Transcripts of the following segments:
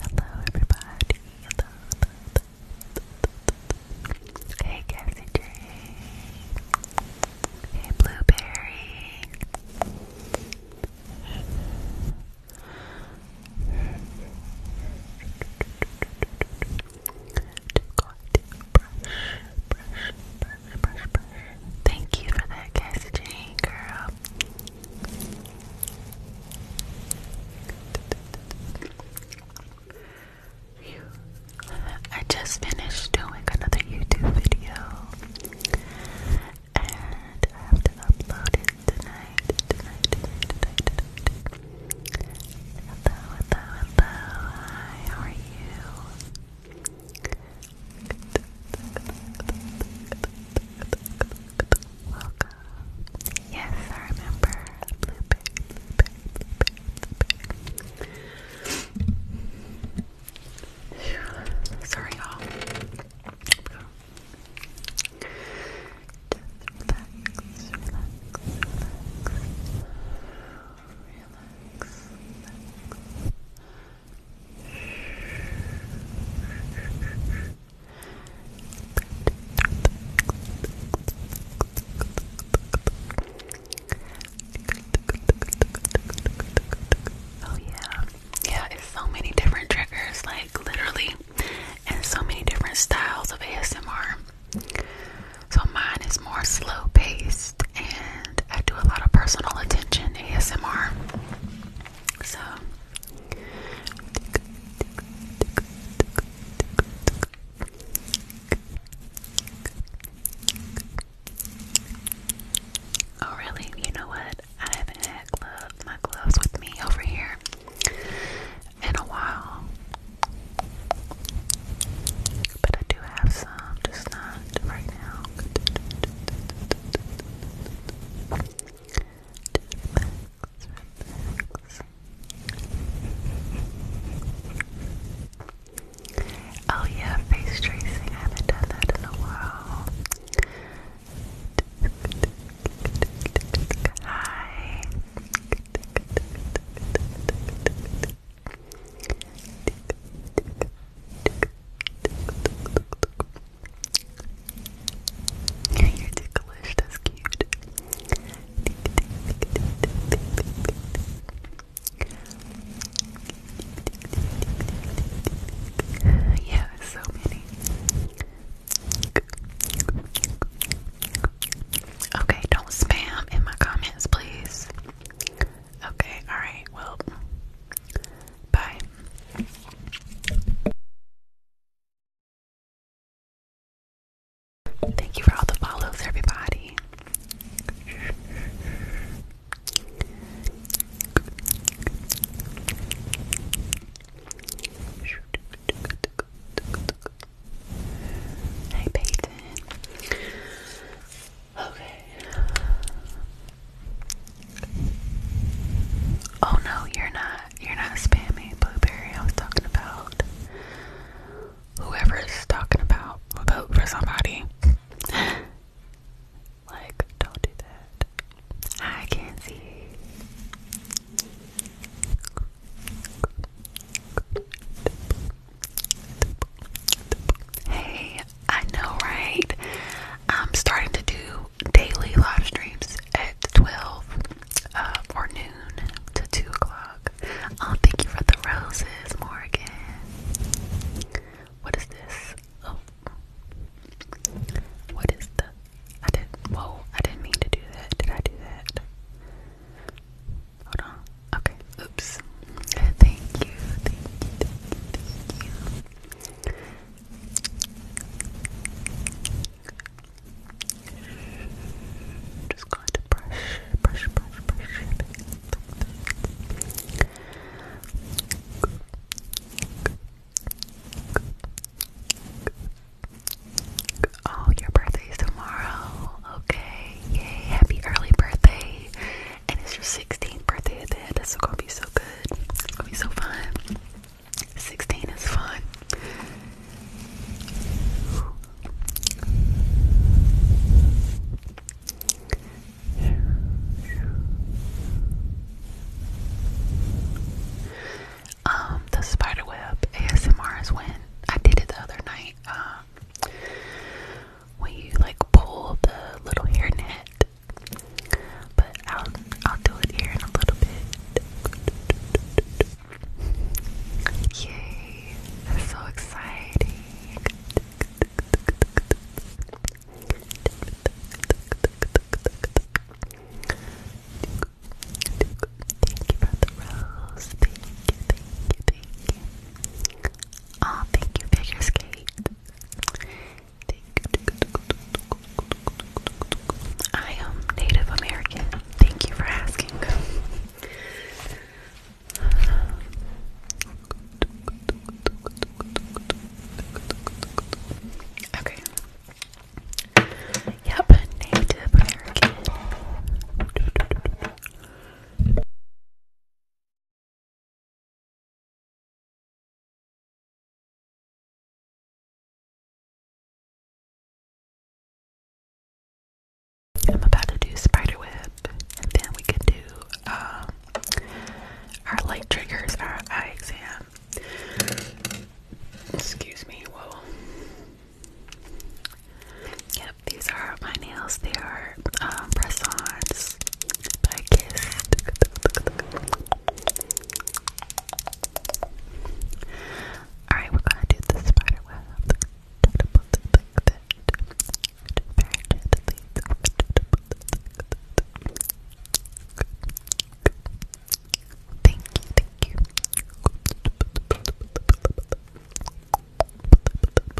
Hello, everybody. Hey, Cassie J. Hey, Blueberry. Thank you for that, Cassie Jane, girl. I just finished doing another YouTube video and I have to upload it tonight, tonight, Hi, how are you? Welcome. Yes, I remember. Sorry, y'all. Oh yeah. Yeah, it's so many different triggers, like literally, and so many different styles of ASMR. So mine is more slow paced and I do a lot of personal attention ASMR. So Oh really? You know what? I haven't had my gloves with me over here in a while but I do have some, just not right now. Oh yeah, face tracing. I haven't done that in a while. Hi you're ticklish, that's cute. Yeah, so many. Okay, don't spam in my comments, please. Okay, alright, well, bye. Thank you for all the follows, everybody. Hey Peyton. Okay. Oh no, you're not. You're not spammy blueberry. I was talking about whoever is talking about vote for somebody. like, don't do that. I can't see. Hey, I know, right? I'm starting to do daily live streams at 12 uh, or noon to 2 o'clock. Oh, thank you for the roses, Morgan. What is this? Oh. What is the. I didn't. Whoa, I didn't mean to do that. Did I do that? Hold on. Okay, oops. Thank you, thank you, thank you, Just going to brush, brush, brush, brush it Oh, your birthday's tomorrow. Okay, yay, happy early birthday and it's your 16th birthday at That's gonna be so good. It's gonna be so fun. 16 is fun. Um, the spiderweb ASMR is when I did it the other night. Um, when you like pull the little hairnet. But I'll I'll do it here in a little bit. Yay! so exciting. Thank Thank you, thank you, I am Native American. Thank you for asking. Okay. Yep, Native American. I'm about to do spider and then we can do um, our light triggers, our eye exam. Excuse me, whoa. Yep, these are my nails. They are other um, press ons, Alright, we're gonna do the spider web. Thank you, thank you.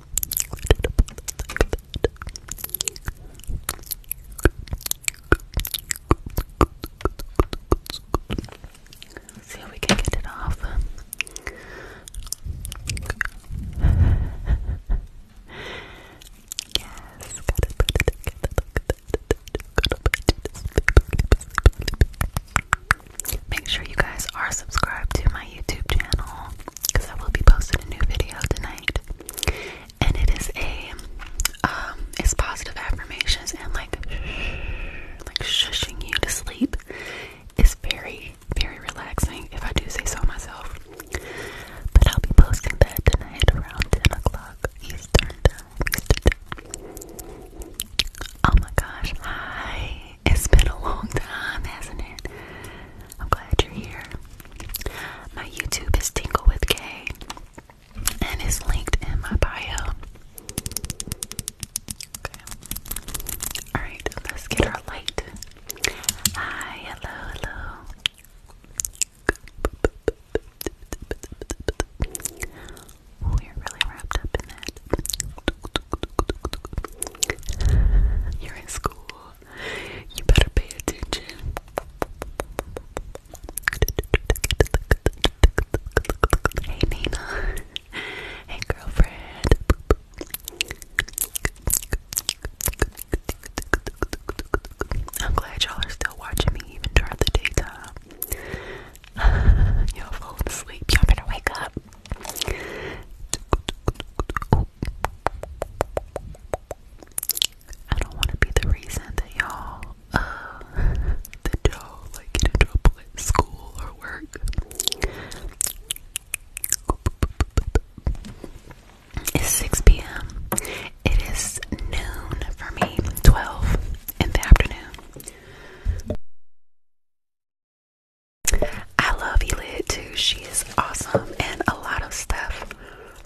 Let's see if we can get it off. yes, got it, put it together. Look at that. Got to put it to sleep, sleep, sleep, sleep make sure you guys are subscribed to my YouTube channel because I will be posting a new video tonight. And it is a um it's positive affirmations and like like shushing you to sleep It's very very relaxing if I do say so myself. But I'll be posting that tonight around 10 o'clock Eastern time. Eastern time. Oh my gosh, hi. It's been a long time, hasn't it? I'm glad you're here. My YouTube is Tingle with K and it's linked in my bio. Okay. Alright, let's get our light. Hi, hello, hello. We're really wrapped up in that. You're in school. You better pay attention. Hey, Nina. Hey, girlfriend. I'm glad y'all are still watching me even during the daytime. y'all falling asleep. Y'all better wake up. I don't want to be the reason that y'all, uh, that you like get in trouble at school or work. It's 6 p.m. It is noon for me, 12 in the afternoon. I love Elid too. She is awesome and a lot of stuff.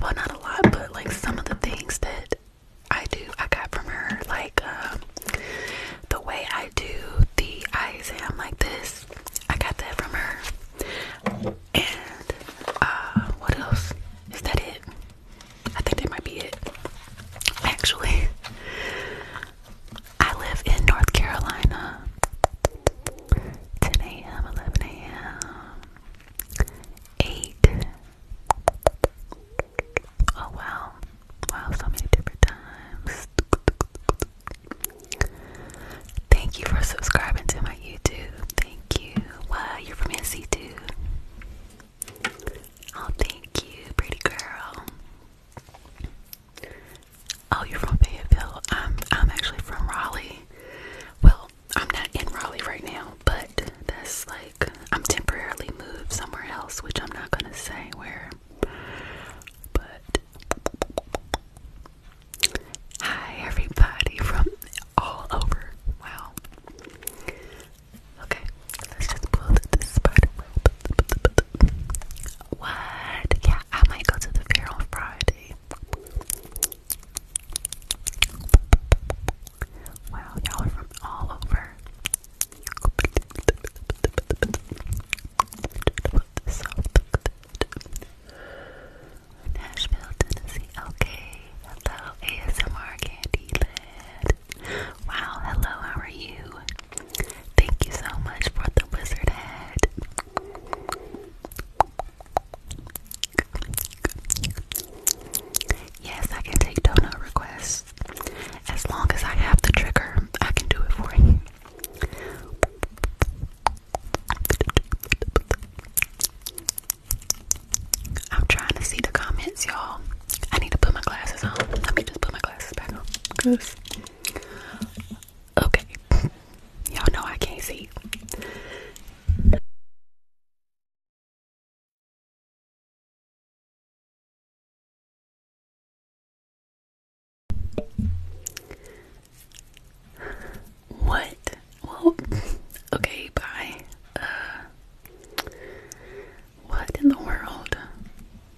Well, not a lot, but like some of the things that I do, I got from her. Like um, the way I do the eye exam like this, I got that from her. And uh, what else? Is that it? I think that might be it. Actually, I live in North Carolina. 10 a.m., 11 a.m., 8. Oh wow. Wow, so many different times. Thank you for subscribing to my YouTube. Thank you. Wow, you're from NC too. Oh, thank you, pretty girl. Oh, you're from Fayetteville. Um, I'm actually from Raleigh. Well, I'm not in Raleigh right now, but that's like I'm temporarily moved somewhere else, which I'm not gonna say where. But hi everybody from all over. Wow. Okay, let's just pull this part. What? Yeah, I might go to the fair on Friday. Wow, y'all are from all over. Nashville, Tennessee. Okay. Hello, ASMR Candy Wow, hello, how are you? Thank you so much for the wizard head. Yes, I can take donut requests. As long as I have the trigger, I can do it for you. I'm trying to see the comments, y'all. I need to put my glasses on. Let me just put my glasses back on. Cause... Okay. Y'all know I can't see. What? Well, okay, bye. Uh, what in the world?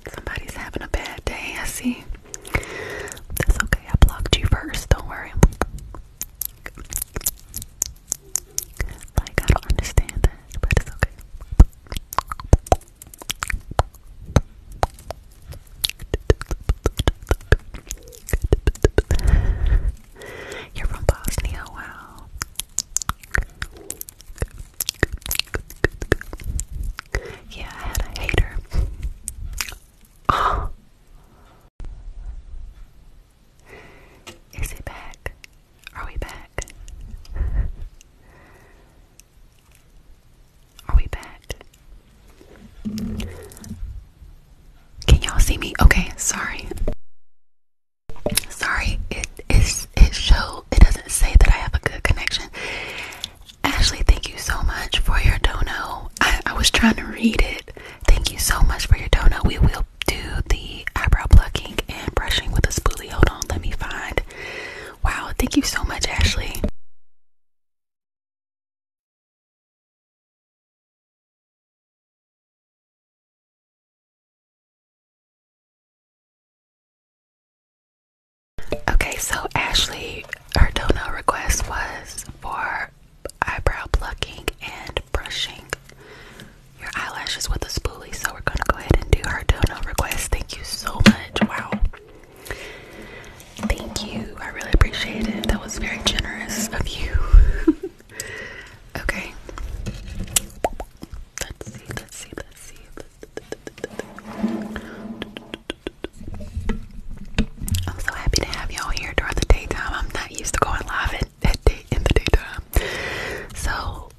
Somebody's having a bad day, I see. That's okay, I blocked you first, don't worry. Like, I don't understand that, but it's okay. You're from Bosnia, wow. Yeah, I had a hater. Is it back? Are we back? Are we back? Can y'all see me? Okay, sorry. Sorry, it is it show it doesn't say that I have a good connection. Ashley, thank you so much for your donut. I, was trying to read it. Thank you so much for your donut. We will do the eyebrow plucking and brushing with a spoolie. Hold on, let me find. Wow, thank you so much, Ashley. Okay, so Ashley, her dono request was for eyebrow plucking and brushing your eyelashes with a spoolie. So we're gonna go ahead and do her dono request. Thank you so much. Wow. Thank you. I really appreciate it. That was very generous of you. okay. Let's see, let's see, let's see. I'm so happy to have y'all here during the daytime. I'm not used to going live at, at day, in the daytime. So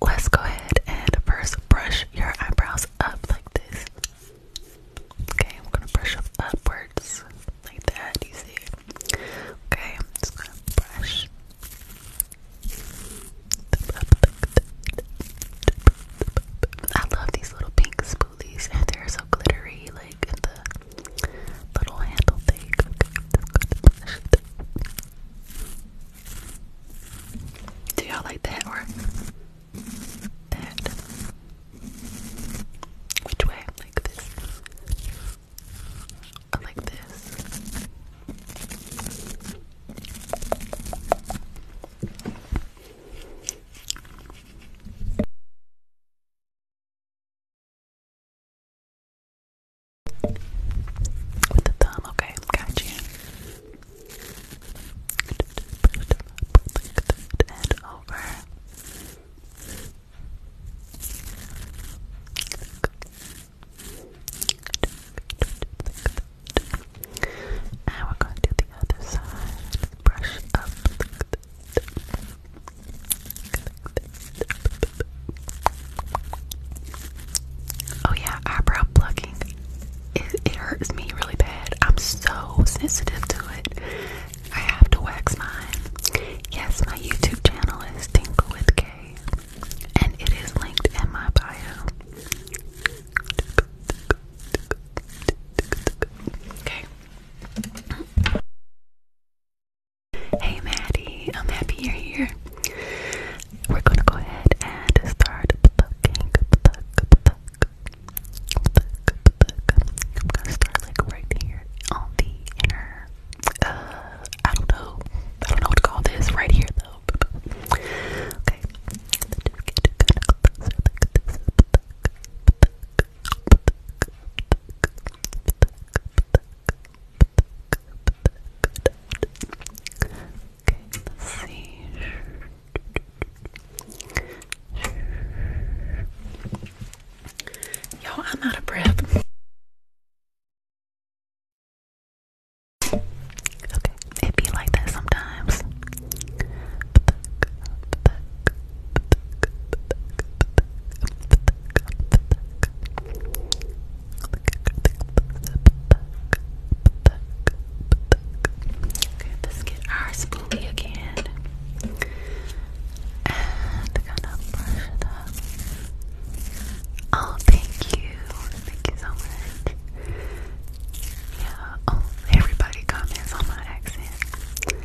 let's go ahead and first brush your eyebrows up like this. Okay, I'm gonna brush up upwards like that. You see? Okay, I'm just gonna brush. I love these little pinks. These And they're glittery, like in the little handle thing. Do y'all like that or that? Which way? Like this? Or like this? With the thumb, okay, got you. And over. And we're going to do the other side. Brush up. Oh yeah, eyebrow plucking. It, hurts me really bad. I'm so sensitive to it. I have to wax mine. Yes, my YouTube channel is Tinkle with K, and it is linked in my bio. Okay. Hey Maddie, I'm happy you're here. We're gonna go ahead and start plucking, pluck, I'm gonna start like right here on the inner. Uh, I don't know. I don't know what to call this right here though. Okay let's I'm out of breath. Okay, it be like that sometimes. Okay, let's get our spoolie again. And gonna brush it up. Oh, thank you. Thank you so much. Yeah, oh, everybody comments on my accent.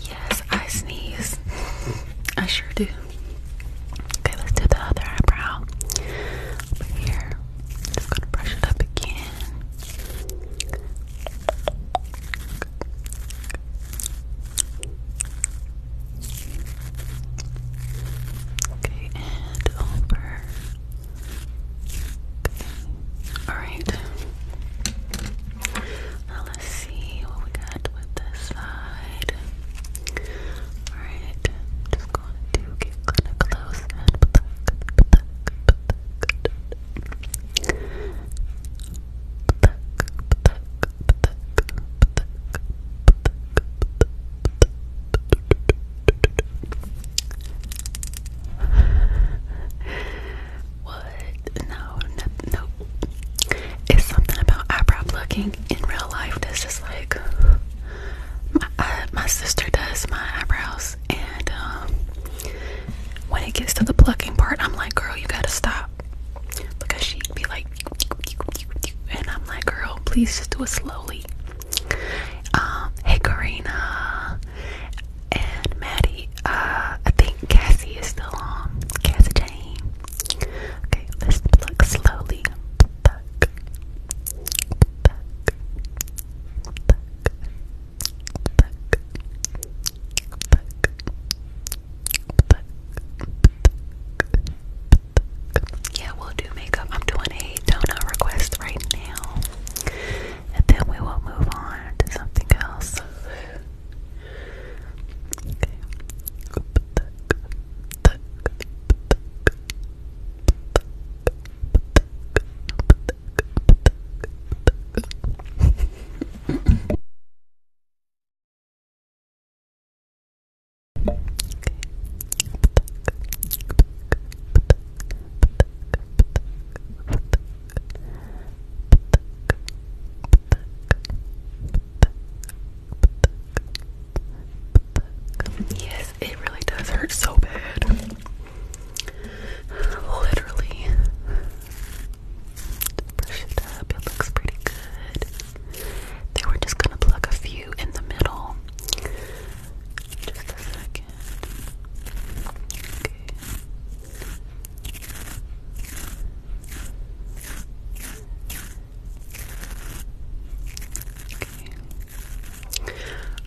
Yes, I sneeze. I sure do. Okay, let's do the other eyebrow. here. Just gonna brush it up again. Okay, and over. Okay. Alright. Now let's see what we got with this side. Alright, just going to get kind of close what? No, no, no. It's something about eyebrow plucking in real life that's just like my uh, my sister does my eyebrows, and um, when it gets to the plucking part, I'm like, girl, you gotta stop because she'd be like and I'm like, girl, please just do it slowly. Um, hey, Karina and Maddie. Uh, I think Cassie is still on. Cassie Jane. Okay, let's pluck slowly. Yeah, we'll do makeup. I'm doing a donut request right now. And then we will move on to something else. Okay. Yes, it really does hurt so bad. Literally. Brush it up, it looks pretty good. They were just gonna plug a few in the middle. Just a second. Okay.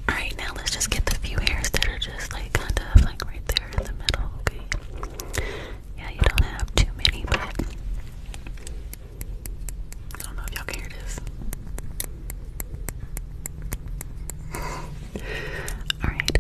Alright, now let's just get the few hairs that are just like kind of like right there in the middle, okay? Yeah, you don't have too many, but I don't know if y'all can hear this. Alright,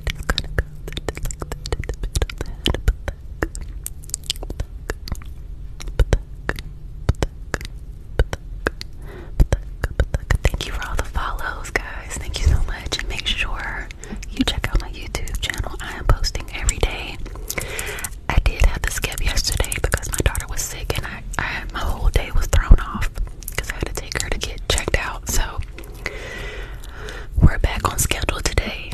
Thank you for all the follows, guys. Thank you so much. And make sure you check out my YouTube channel. I am posting every day I did have to skip yesterday because my daughter was sick and I, I my whole day was thrown off because I had to take her to get checked out. So we're back on schedule today.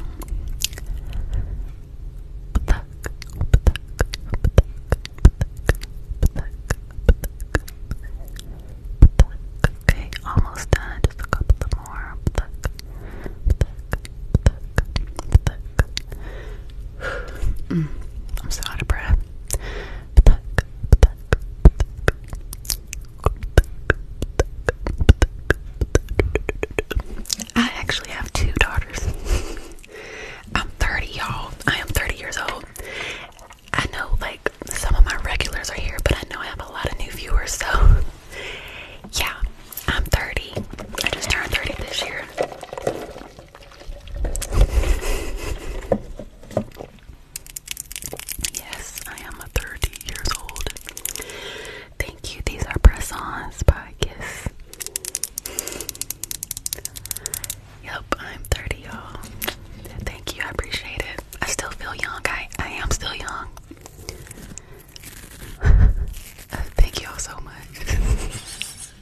Okay, almost done. Just a couple more. I'm so out of breath. I actually have two daughters. I'm 30, y'all. I am 30 years old. I know, like, some of my regulars are here, but I know I have a lot of new viewers, so yeah, I'm 30. I just turned 30 this year. Yes, I am 30 years old. Thank you. These are press-ons by Kiss. Yep, I'm 30, y'all. Thank you. I appreciate it. I still feel young. I, I am still young. thank y'all so much.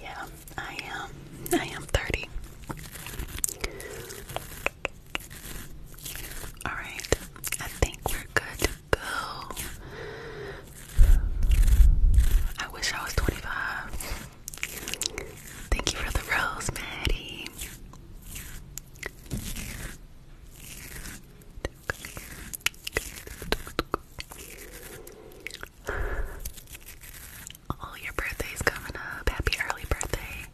yeah, I am. I am 30. Alright, I think we're good to go. I wish I was 25. Thank you for the rose, Maddie. Oh, your birthday's coming up. Happy early birthday.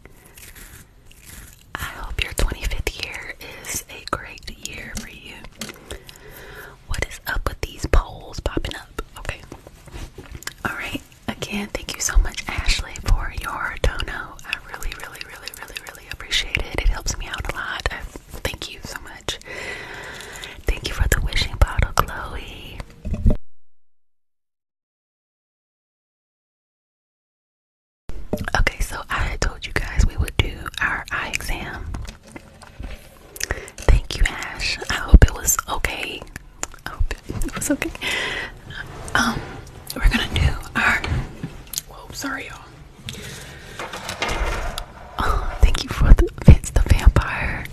I hope your 25th year is a great year for you. What is up with these polls popping up? Okay. Alright, again, thank you so much, Ashley, for your dono. I really, really, really, really, really appreciate it. It helps me out a lot. Thank you so much. Thank you for the wishing bottle, Chloe. Okay, so I told you guys we would do our eye exam. Thank you, Ash. I hope it was okay. I hope it was okay. Um, we're gonna do our. sorry, y'all. Oh, thank you for the Vince the Vampire.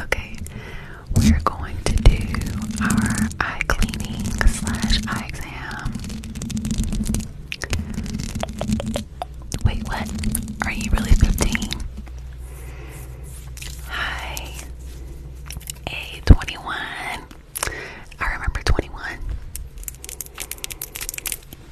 Okay, we're going to do our eye cleaning slash eye exam. Wait, what? Are you really 15? Hi. A 21. I remember 21.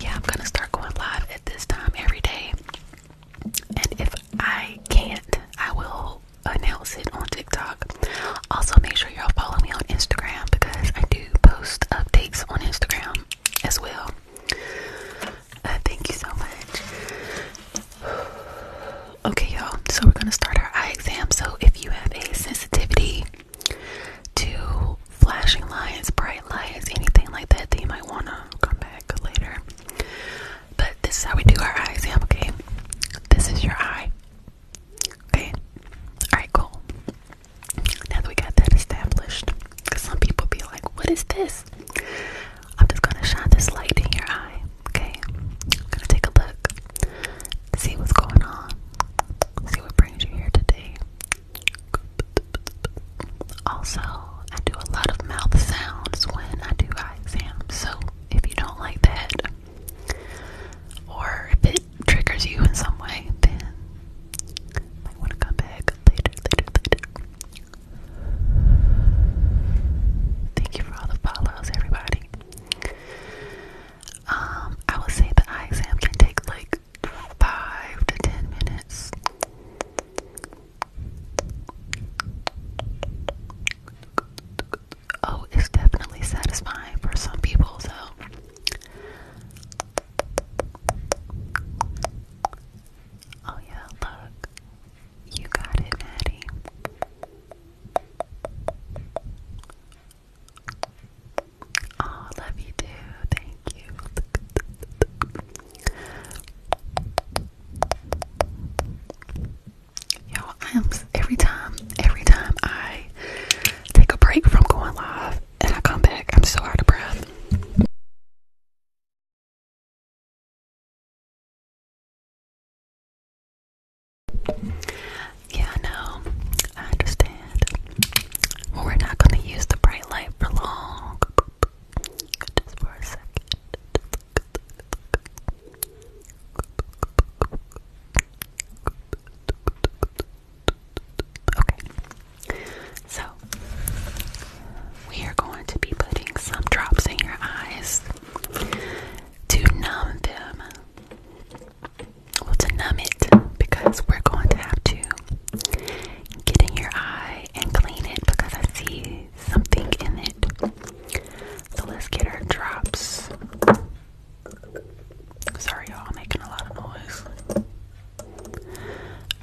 yeah, I'm gonna start going live at this time every day. And if I can't, I will announce it on TikTok. Also, make sure y'all follow me on Instagram because I do post updates on Instagram as well. Uh, thank you so much. Okay, y'all, so we're gonna start our eye exam. So, if you have a sensitivity to flashing lights, bright lights, anything like that, then you might wanna come back later. But this is how we do our eye exam, okay? This is your eye. Okay? Alright, cool. Now that we got that established, because some people be like, what is this? I'm just gonna shine this light in your eye okay? I'm gonna take a look, see what's going on, see what brings you here today. Also, I do a lot of mouth sounds when I do eye exams, so if you don't like that, or if it triggers you in some way, then you want to come back later, later, later. Thank you for all the follows, everybody. Um, I would say the eye exam can take like five to ten minutes. Oh, it's definitely satisfying for some people, so Oh yeah, look. You got it, Maddie. Oh, love you too. Thank you. Yo, I am every time, every time I take a break from going live and I come back, I'm so out of breath. Yeah, no, I understand. we're not going to use the bright light for long. Just for a second. Okay, so we are going to be putting some drops in your eyes to numb them well to numb it because we're going to have to get in your eye and clean it because I see something in it. So let's get our drops. Sorry y'all making a lot of noise.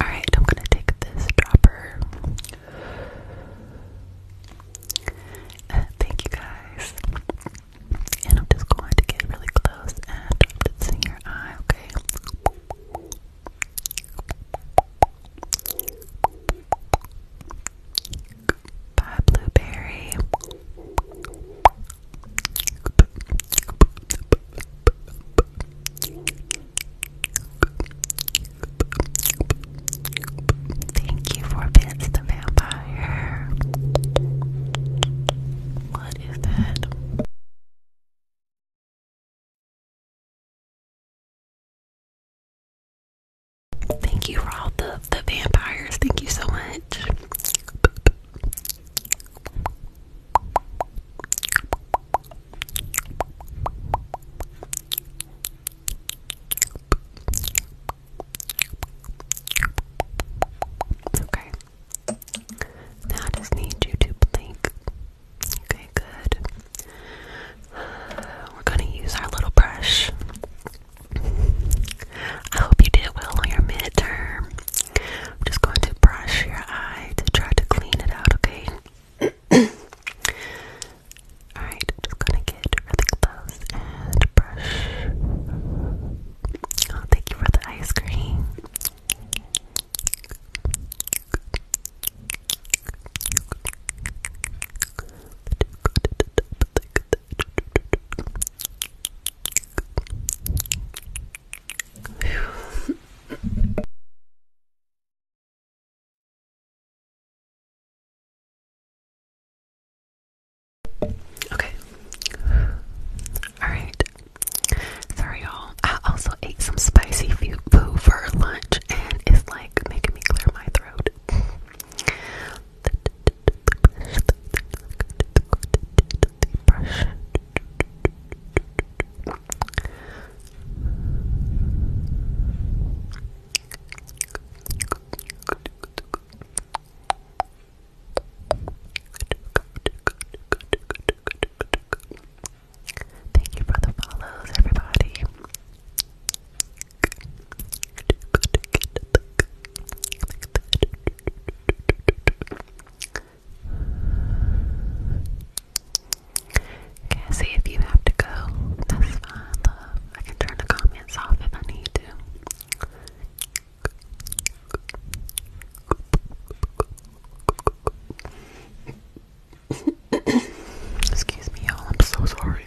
Alright, I'm gonna take this dropper. Uh, thank you guys. And I'm just going to get really close and drop this in your eye, okay? Bye, Blueberry. Thank you for being the Vampire. What is that? Thank you for all the, the vampires. Thank you so much. Okay. Now I just need you to blink. Okay, good. We're gonna use our little brush. I hope you did well on your midterm. I'm just going to brush your eye to try to clean it out, okay? Alright, just gonna get really close and brush. Oh, thank you for the ice cream. Okay. Alright. Sorry, y'all. I also ate some spicy food for lunch and it's like making me clear my throat. Brush. Thank you for the follows, everybody. Okay, if you have to go. That's fine, love. I can turn the comments off if I need to. Excuse me, y'all. I'm so sorry.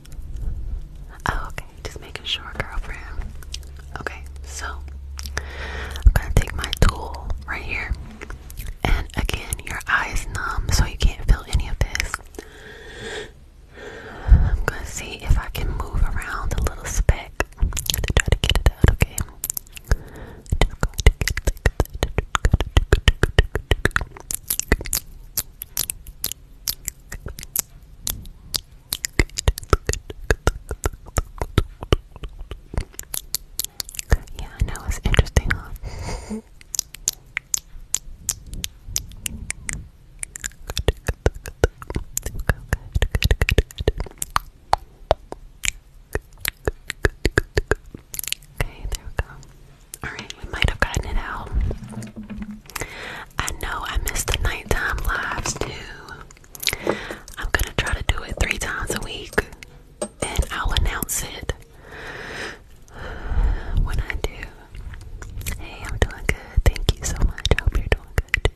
Oh, okay, just making sure, girlfriend. Okay, so I'm gonna take my tool right here, and again, your eye numb, so you can't feel any of this. I'm gonna see if I can move around a little speck to try to get it out, okay? Yeah, I know it's interesting, Okay, there we go. Alright, we might have gotten it out. I know I missed the nighttime lives too. I'm gonna try to do it three times a week and I'll announce it when I do. Hey, I'm doing good. Thank you so much. hope you're doing good.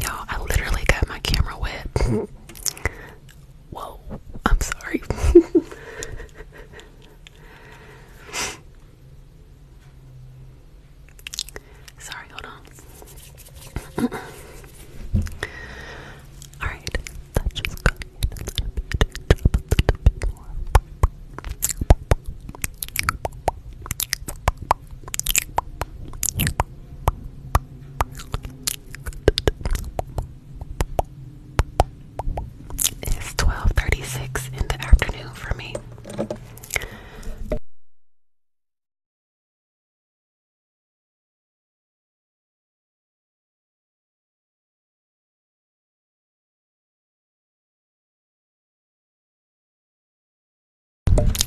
Y'all, I literally got my camera wet. Whoa, I'm sorry. sorry, hold on. Alright, it's 12:36 in the afternoon for me.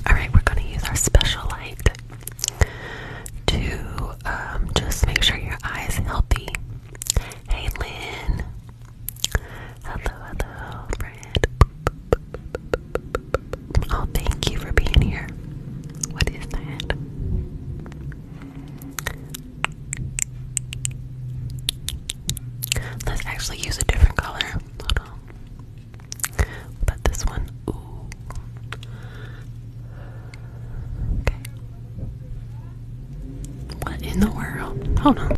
Alright, we're going to use our special light to um, just make sure your eye healthy. Hey, Lynn. Hello, hello, friend. Oh, thank you for being here. What is that? Let's actually use a different color. Hold on. this one, Okay. What in the world? Hold on.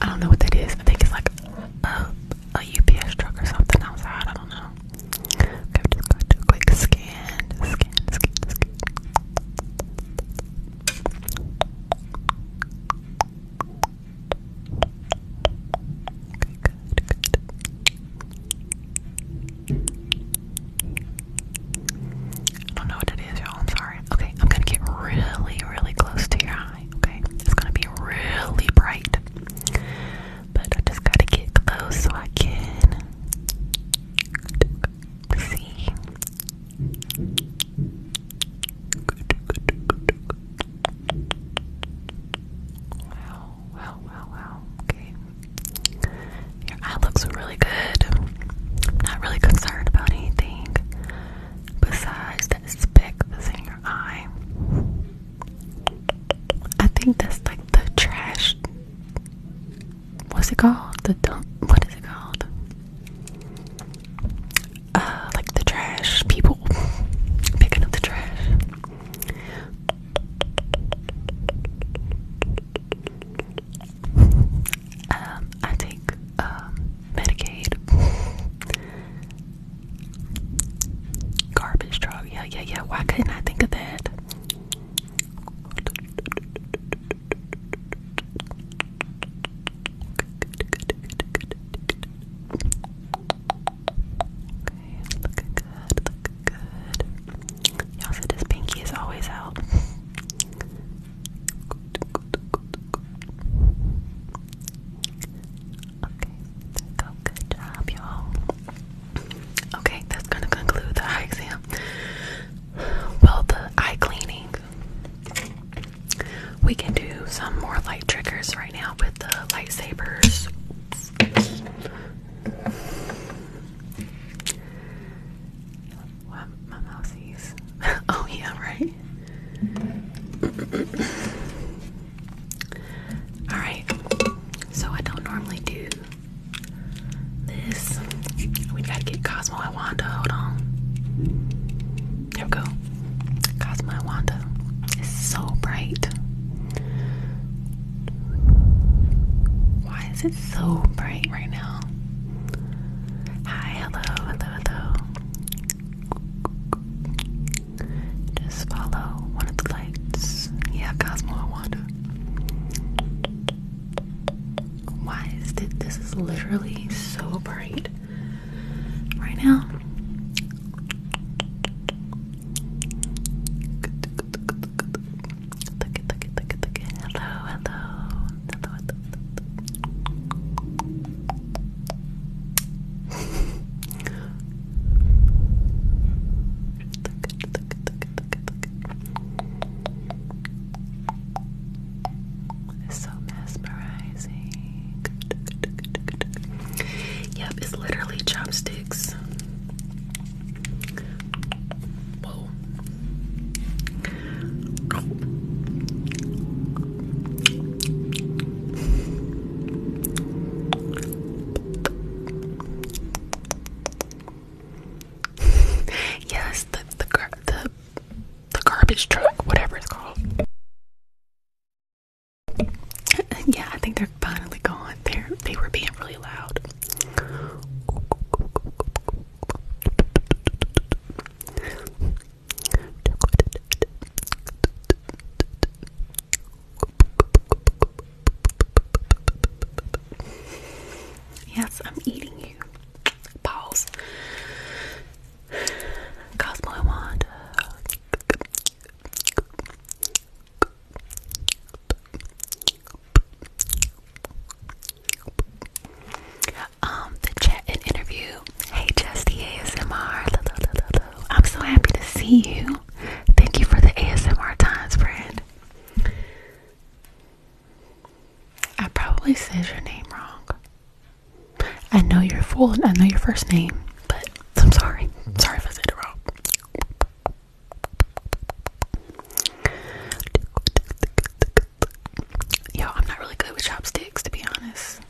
I don't know what that is. I think it's like a, UPS truck or something outside. I don't know. I'm just going to do a quick scan. Scan, scan, scan. Okay, I don't know what it is, y'all. I'm sorry. Okay, I'm gonna get really, really close to your eye sky, okay? It's gonna be really bright. But I just gotta get close so I can see. Wow, wow, wow, wow. Okay. Your eye looks really good. not really concerned about anything besides specs in your eye. I think that's like the trash. What's it called? The dump. What is it called? Uh, like the trash people picking up the trash. Um, I take um, Medicaid, garbage truck. Yeah, yeah, yeah. Why couldn't I think of that? Okay, looking good, good. Y'all said this pinky is always out. Okay, there go. Good job, y'all. Okay, that's gonna conclude the eye exam. Well, the eye cleaning. We can do some more light triggers right now with the lightsabers. What my mouse is. oh, yeah, right? Alright, so I don't normally do this. We gotta get Cosmo and Wanda. Hold on. There we go. Cosmo and Wanda. It's so bright. Why is it so bright right now? Hi, hello, hello, hello. Just follow one of the lights. Yeah, Cosmo, I wonder. Why is it? This is literally so bright right now. hello, hello. It's so mesmerizing. Yep, it's literally chopsticks. yes, the the, the the garbage truck, whatever it's called. Yeah, I think they're finally gone. They they were being really loud. Yes, I'm eating you. Pause. Cosmo and Wanda. Um, the chat and interview Hey, Just ASMR. I'm so happy to see you. Thank you for the ASMR times, friend. I probably said your name wrong. I know you're full and I know your first name, but I'm sorry. sorry if I it wrong. Yo, I'm not really good with chopsticks to be honest.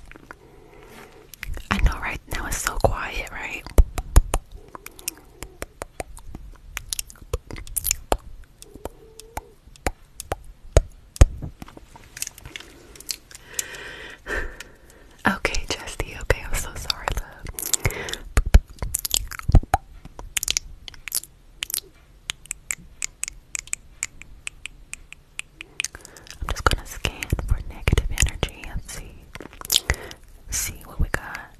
I know right now it's so quiet, right? Okay, Chesty, okay, I'm so sorry, love. I'm just gonna scan for negative energy and see see what we got.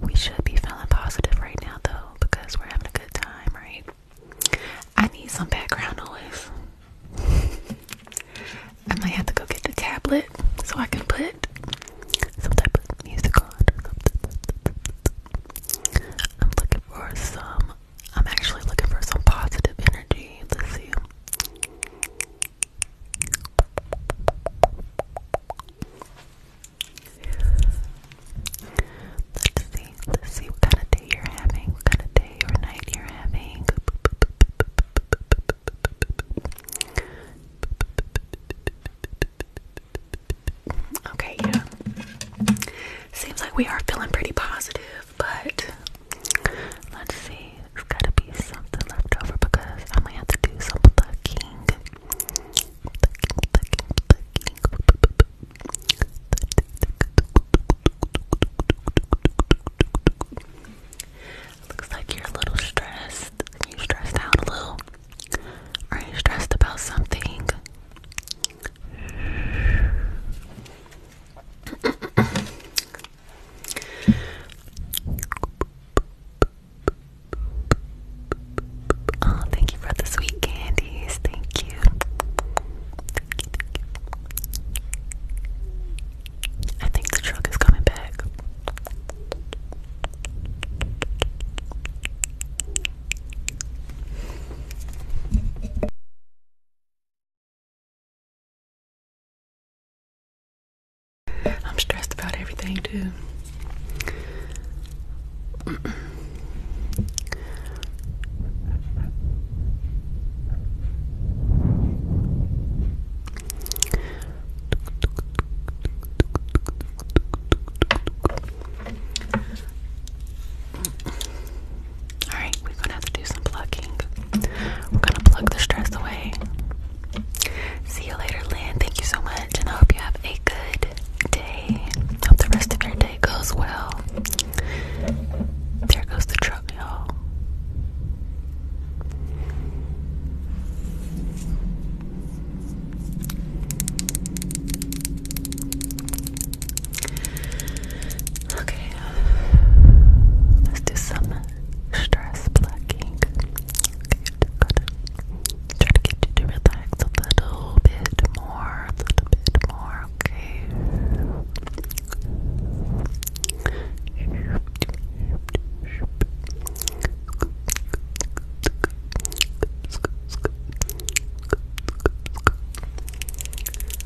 We should be feeling positive right now though, because we're having a good time, right? I need some background noise. I might have to go get the tablet so I can put some type of music on. I'm looking for some I'm actually looking for some positive energy. Let's see. Let's see. Let's see what kind of day you're having, what kind of day or night you're having. Okay, yeah. Seems like we are feeling pretty positive, but Let's see. There's gotta be something left over because I might have to do some plucking. Looks like you're a little stressed. You stressed out a little. Are you stressed about something? oh, thank you for the sweet candies. Thank you. I think the truck is coming back. I'm stressed about everything too. Alright, we're gonna have to do some plugging. We're gonna plug the stress away. See you later, Lynn. Thank you so much, and I hope you have a good day. Hope the rest of your day goes well. There goes the truck, y'all. Okay, let's do some stress blocking. Okay, just try to get you to relax a little bit more, a little bit more, okay?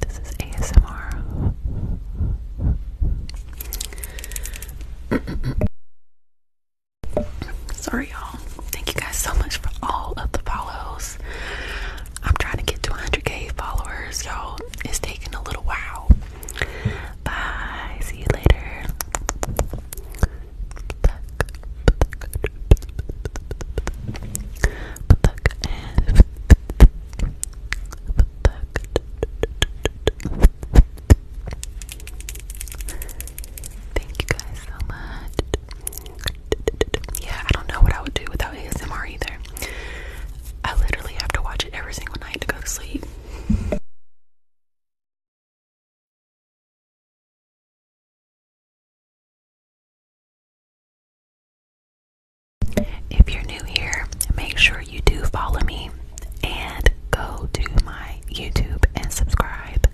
This is ASMR. Sorry, y'all. Thank you guys so much for all of the follows. I'm trying to get to 100k followers, y'all. It's taking a little while. Bye. See you later. Thank you guys so much. Yeah, I don't know what I would do without ASMR either. I literally have to watch it every single night to go sleep. If you're new here, make sure you do follow me and go to my YouTube and subscribe.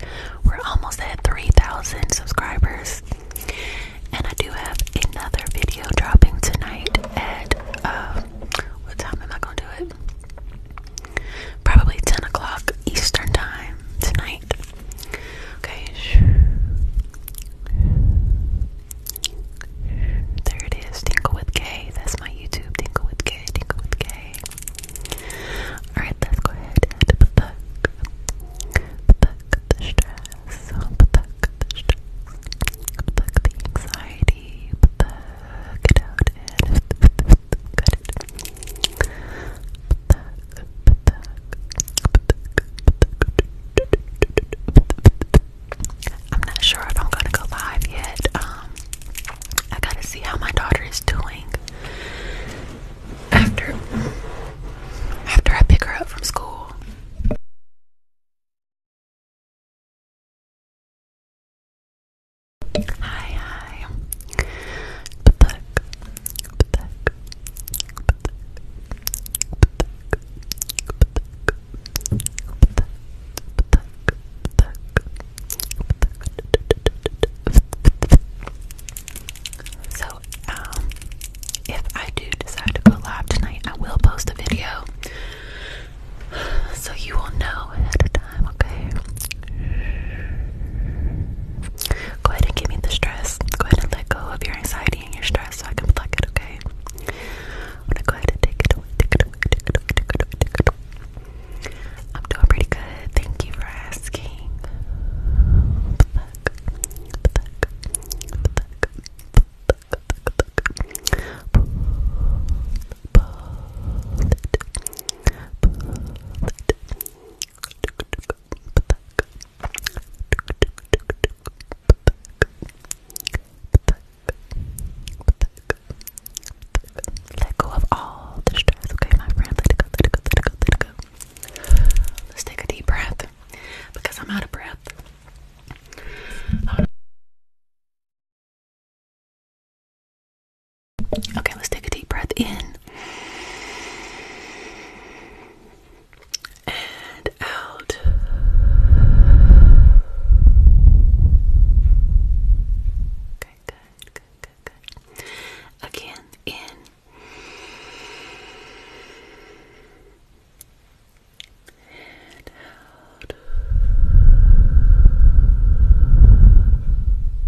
We're almost at 3,000 subscribers. And I do have another video dropping tonight at, uh, what time am I going to do it? Probably 10 o'clock Eastern Time tonight. Okay. There it is. Tinkle with K. That's my YouTube. Tinkle with K. Tinkle with K. Alright, let's go ahead put the, put the, stress, put the, put the stress, put the, put the anxiety, put the, get out I'm not sure if I'm gonna go live yet. Um, I gotta see how my daughter is doing after after I pick her up from school. Hi, hi. So, um, if I do decide to go live tonight, I will post a video so you will know ahead of time time, okay? Go ahead and give me the stress. Go ahead and let go of your anxiety and your stress so I can pluck it, okay? I'm gonna go ahead and take it away, I'm doing pretty good. Thank you for asking. Let go of all the stress, okay, my friend. Let it go, let it go, let it go, let it go. Let's take a deep breath because I'm out of breath. Okay, let's take a deep breath in and out. Okay, good, good, good, good. Again, in and out.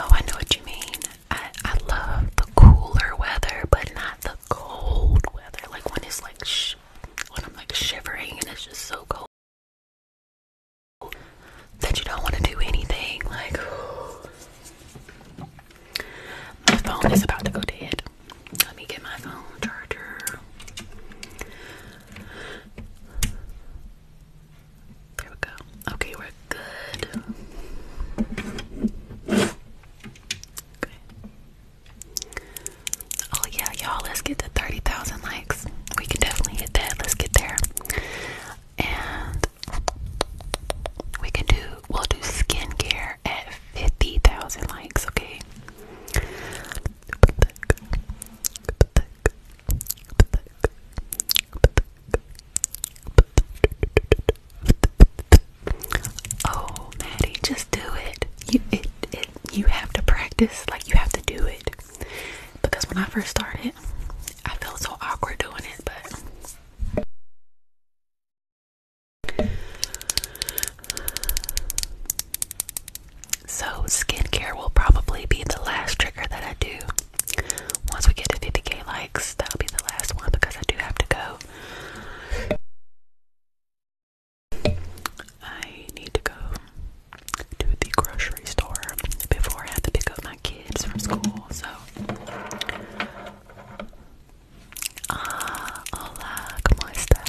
Oh, I know what you mean. I, I love the cooler weather, but not the cold weather. Like when it's like, sh when I'm like shivering and it's just so cold that you don't want to do anything. Like, my phone is about to go dead. Let me get my phone charger. There we go. Okay, we're good. Oh yeah, y'all, let's get to 30,000 likes. We can definitely hit that. Let's get there. And we can do we'll do skincare at 50,000 likes, okay? Oh, Maddie, just do it. You it, it you have to practice, like you have to do it. Because when I first started, I felt so awkward doing it, but so, skincare will probably be the last trigger that I do. Once we get to 50k likes, that'll be the last one because I do have to go. I need to go to the grocery store before I have to pick up my kids from school. So, ah, uh, hola, como estas?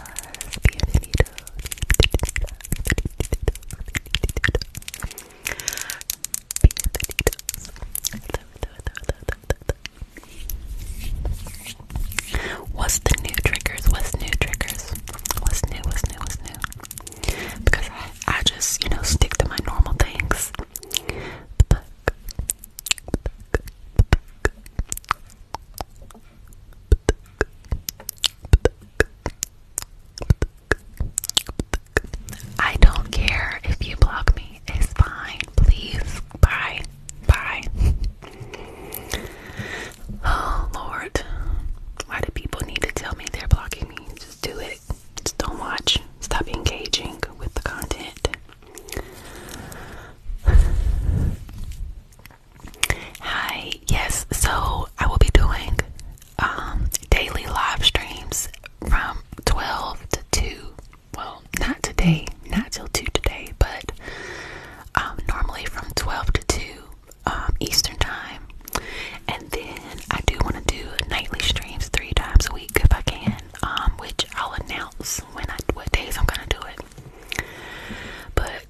What's the new triggers? What's new triggers? What's new? What's new? What's new? Because I, just, you know, stick to my normal things. I don't care if you block me. It's fine. Please. Bye. Bye. Oh, Lord. Why do people need to tell me they're blocking me? Just do it. Just don't watch. Stop engaging with the content. Hi, yes, so I will be doing um, daily live streams from 12 to 2. Well, not today, not till 2 today, but um, normally from 12 to 2 um, Eastern time. And then I do want to do nightly streams three times a week if I can, um which I'll announce when I what days I'm going to do it. But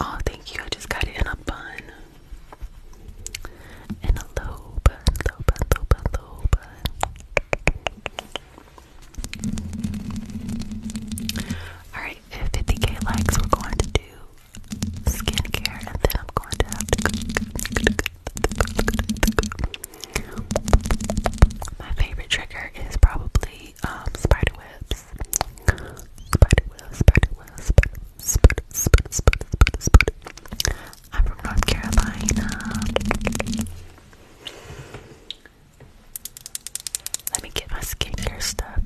Oh, thank you. I just got it in a bun. In a low bun, low bun, low bun, low bun. Alright, 50k likes, we're going to do skincare and then I'm going to have My favorite trigger is probably um, Spread it, spread it, spread it, spread it, spread I'm from North Carolina. Let me get my skincare stuff.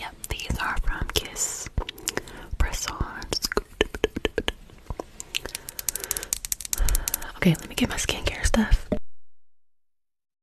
Yep, these are from Kiss. Press on. Okay, let me get my skincare stuff.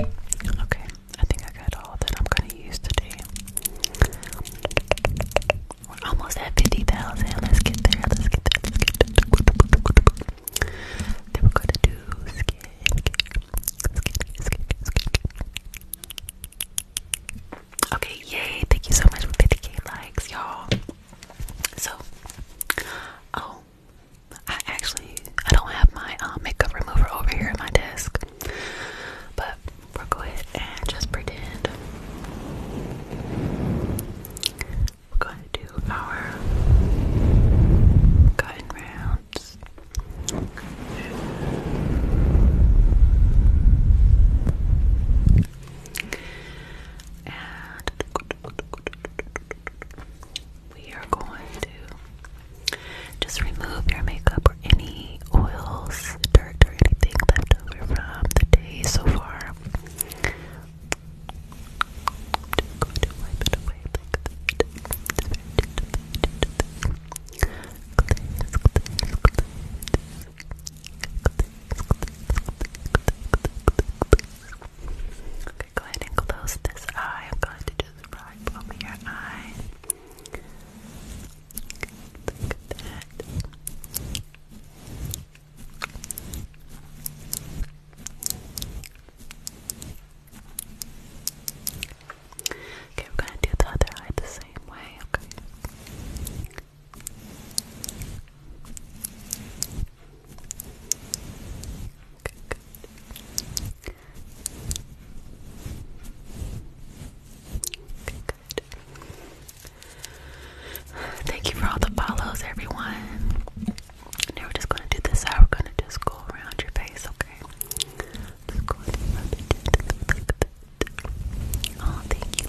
Okay, I think I got all that I'm gonna use today. We're almost at 50,000. Let's get there, let's get there, let's get there. Then we're gonna do Okay, yay, thank you so much for 50k likes, y'all. So, oh, I actually I don't have my um, makeup remover over here at my desk, but we'll go ahead and just pretend. We're going to do our cutting rounds we are going to just remove your makeup or any oils, dirt, or anything left over from the day so far. to Okay, go ahead and close this eye. I'm going to just rub over your eye. Okay, we're gonna do the other eye the same way, Okay, Thank you for all the follows, everyone. Now we're just gonna do this side. We're gonna just go around your face, okay? Oh, thank you,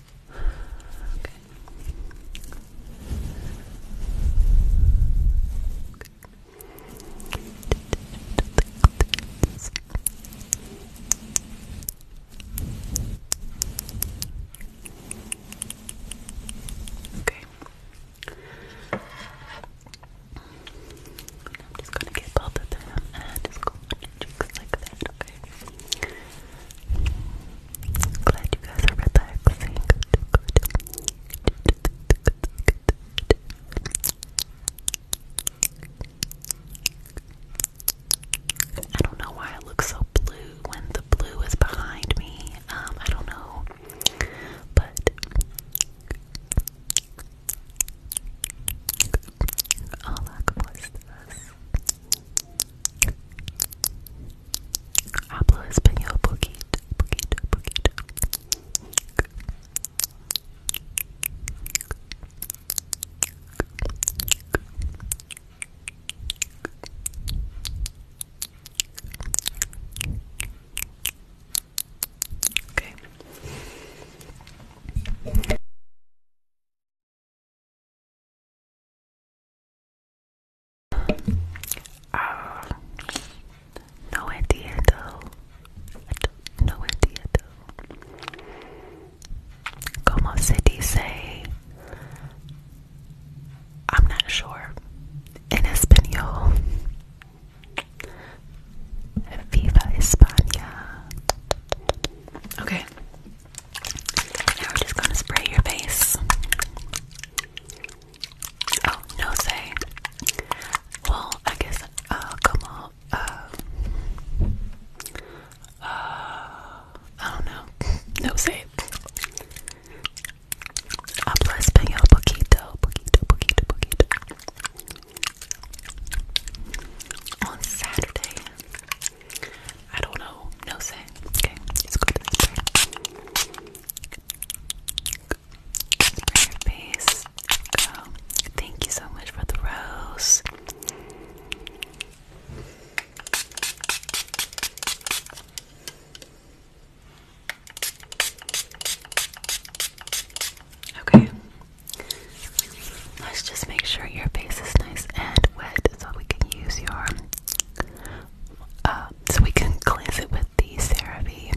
Okay. I'm just gonna get both of them and just go your Glad you guys are relaxing. I don't know why I look so blue when the blue is behind me. Um, I don't know. But Hablo español poquito, poquito, poquito. Okay. Ah, no idea though. No idea though. Como se dice? I'm not sure. In Espanol. Viva España. Okay. Now we're just gonna spray your face. Oh, no say. Well, I guess uh, come on. Uh, uh, I don't know. No say. Habla español poquito, poquito, poquito, poquito. On Saturday, I don't know. No say. Okay, let's Go. Thank you so much for the rose. Okay. Let's just make sure your face is nice and wet so we can use your uh, so we can cleanse it with the CeraVe.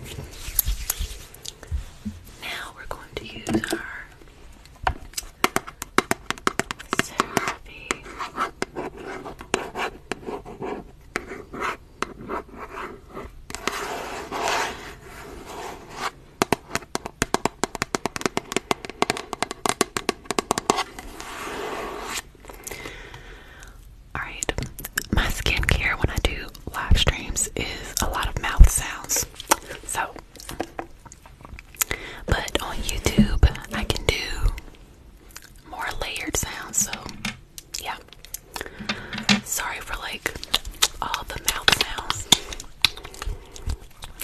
Okay. Now we're going to use our Seraphie Alright, my skincare when I do live streams is a lot of mouth sounds. So, but on YouTube, I can do more layered sounds. So, yeah. Sorry for like all the mouth sounds.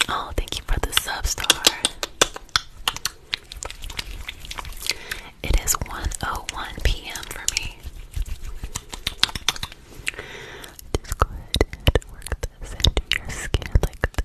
Oh, thank you for the sub star. It is 1:01 p.m. for me. Just go ahead and work this into your skin like that.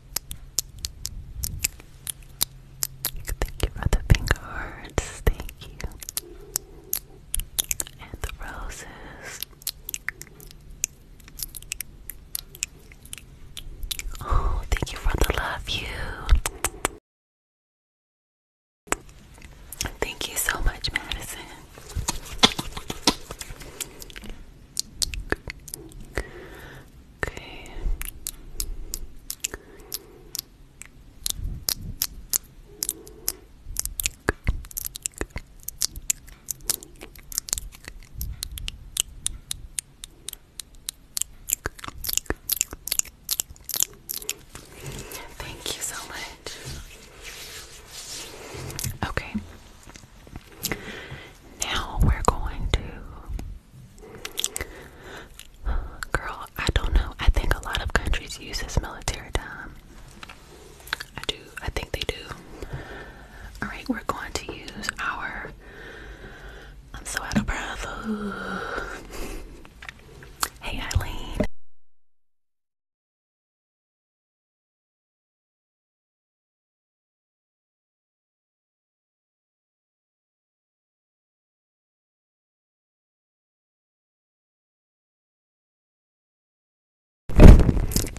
Thank you for the finger hearts. Thank you. And the roses. Oh, thank you for the love, you. Thank you so much, Madison. Okay. Thank you so much. Okay. Now we're going to. Girl, I don't know. I think a lot of countries use this military time. I do. I think they do. Alright, we're going to use our. I'm so out of breath. Hey, Eileen.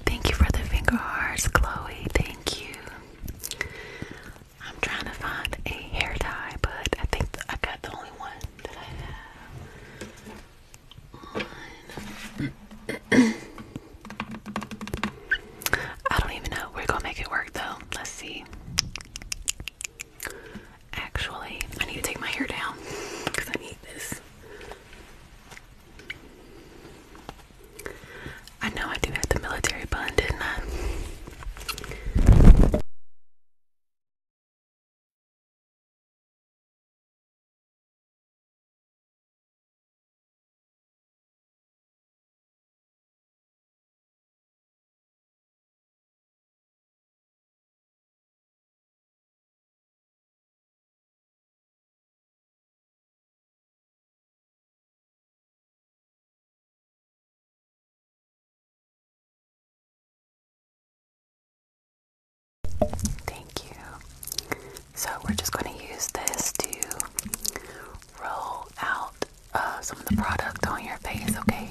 Thank you for the finger hearts, Chloe. Thank you. I'm trying to find a hair tie, but I think I got the only one that I have. I don't even know. We're gonna make it work though. Let's see. Actually, I need to take my hair down because I need this. I know I do have the military bun, didn't I? Thank you. So, we're just going to use this to roll out uh, some of the product on your face, okay?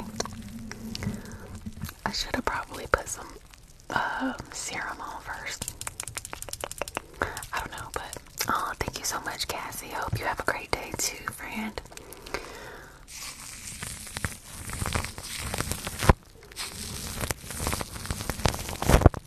I should have probably put some uh, serum on first. I don't know, but oh, thank you so much, Cassie. I hope you have a great day too, friend.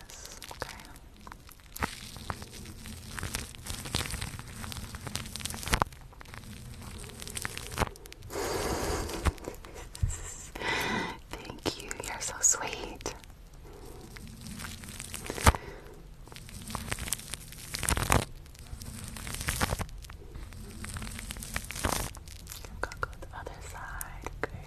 this, okay? Thank you, you're so sweet. Go go the other side,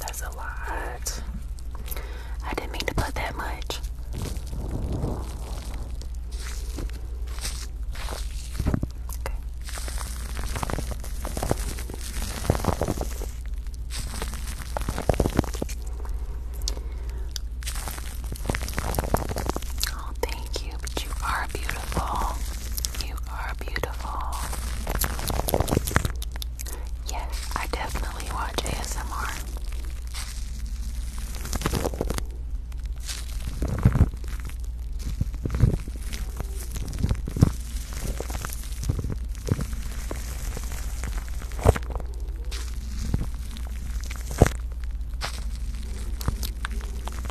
that's a lot. I didn't mean to put that much. Oh, thank you, but you are beautiful. You are beautiful. Yes, I definitely watch ASMR.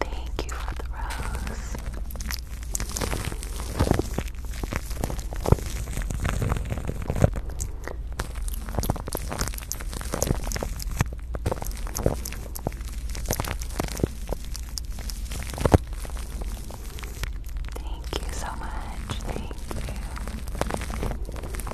Thank you for the rose. Thank you so much. Thank you.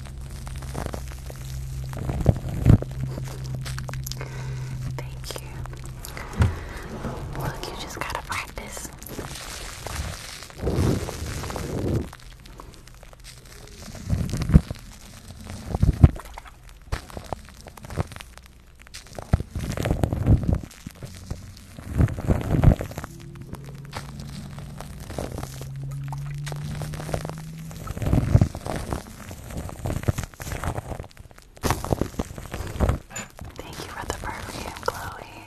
Thank you. Look, you just gotta practice. Thank you for the perfume, Chloe.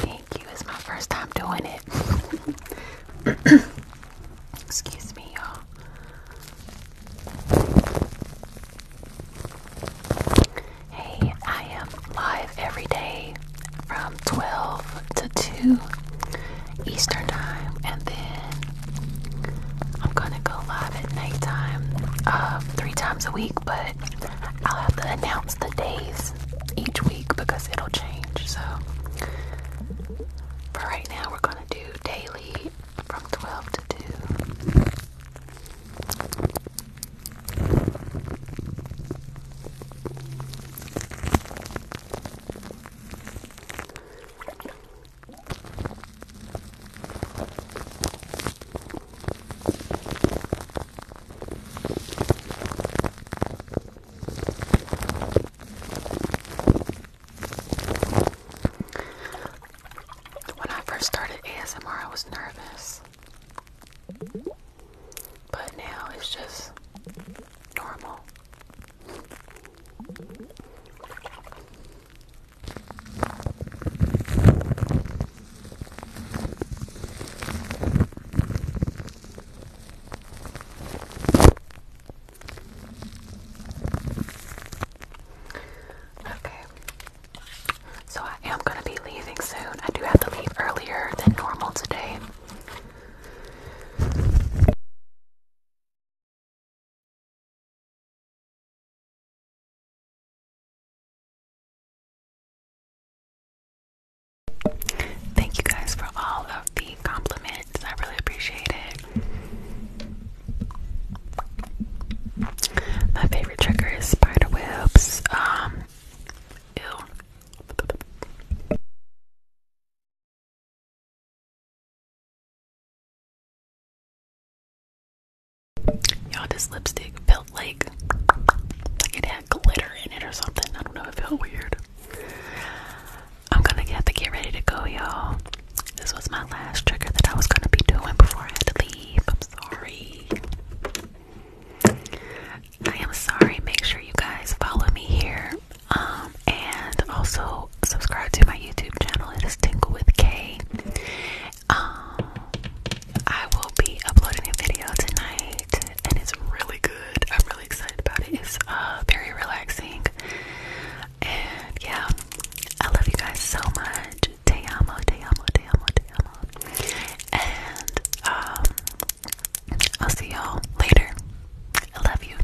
Thank you. It's my first time doing it. Excuse me, y'all. Hey, I am live every day from 12 to 2 Eastern Time and then I'm gonna go live at nighttime uh, three times a week, but I'll have to announce the days each week because it'll change. So, for right now, we're gonna do daily from 12 to 2. When I first started ASMR, I was nervous. But now it's just normal. Okay. So I am going to be leaving soon. I do have to leave earlier than normal today. Thank you guys for all of the compliments. I really appreciate it. My favorite trigger is spider webs. Um, Y'all, this lipstick felt like like it had glitter in it or something. I don't know. It felt weird. I'm gonna have to get ready to go, y'all. This was my last trigger that I was gonna be doing before I had to leave. I'm sorry. I am sorry. Make sure you guys follow me here. Um, and also subscribe to my YouTube channel. It is Tingle with K. Um, I will be uploading a video tonight, and it's really good. I'm really excited about it. It's uh, very relaxing, and yeah, I love you guys so much. Te amo, te amo, te amo, te amo. And um, I'll see y'all later. I love you.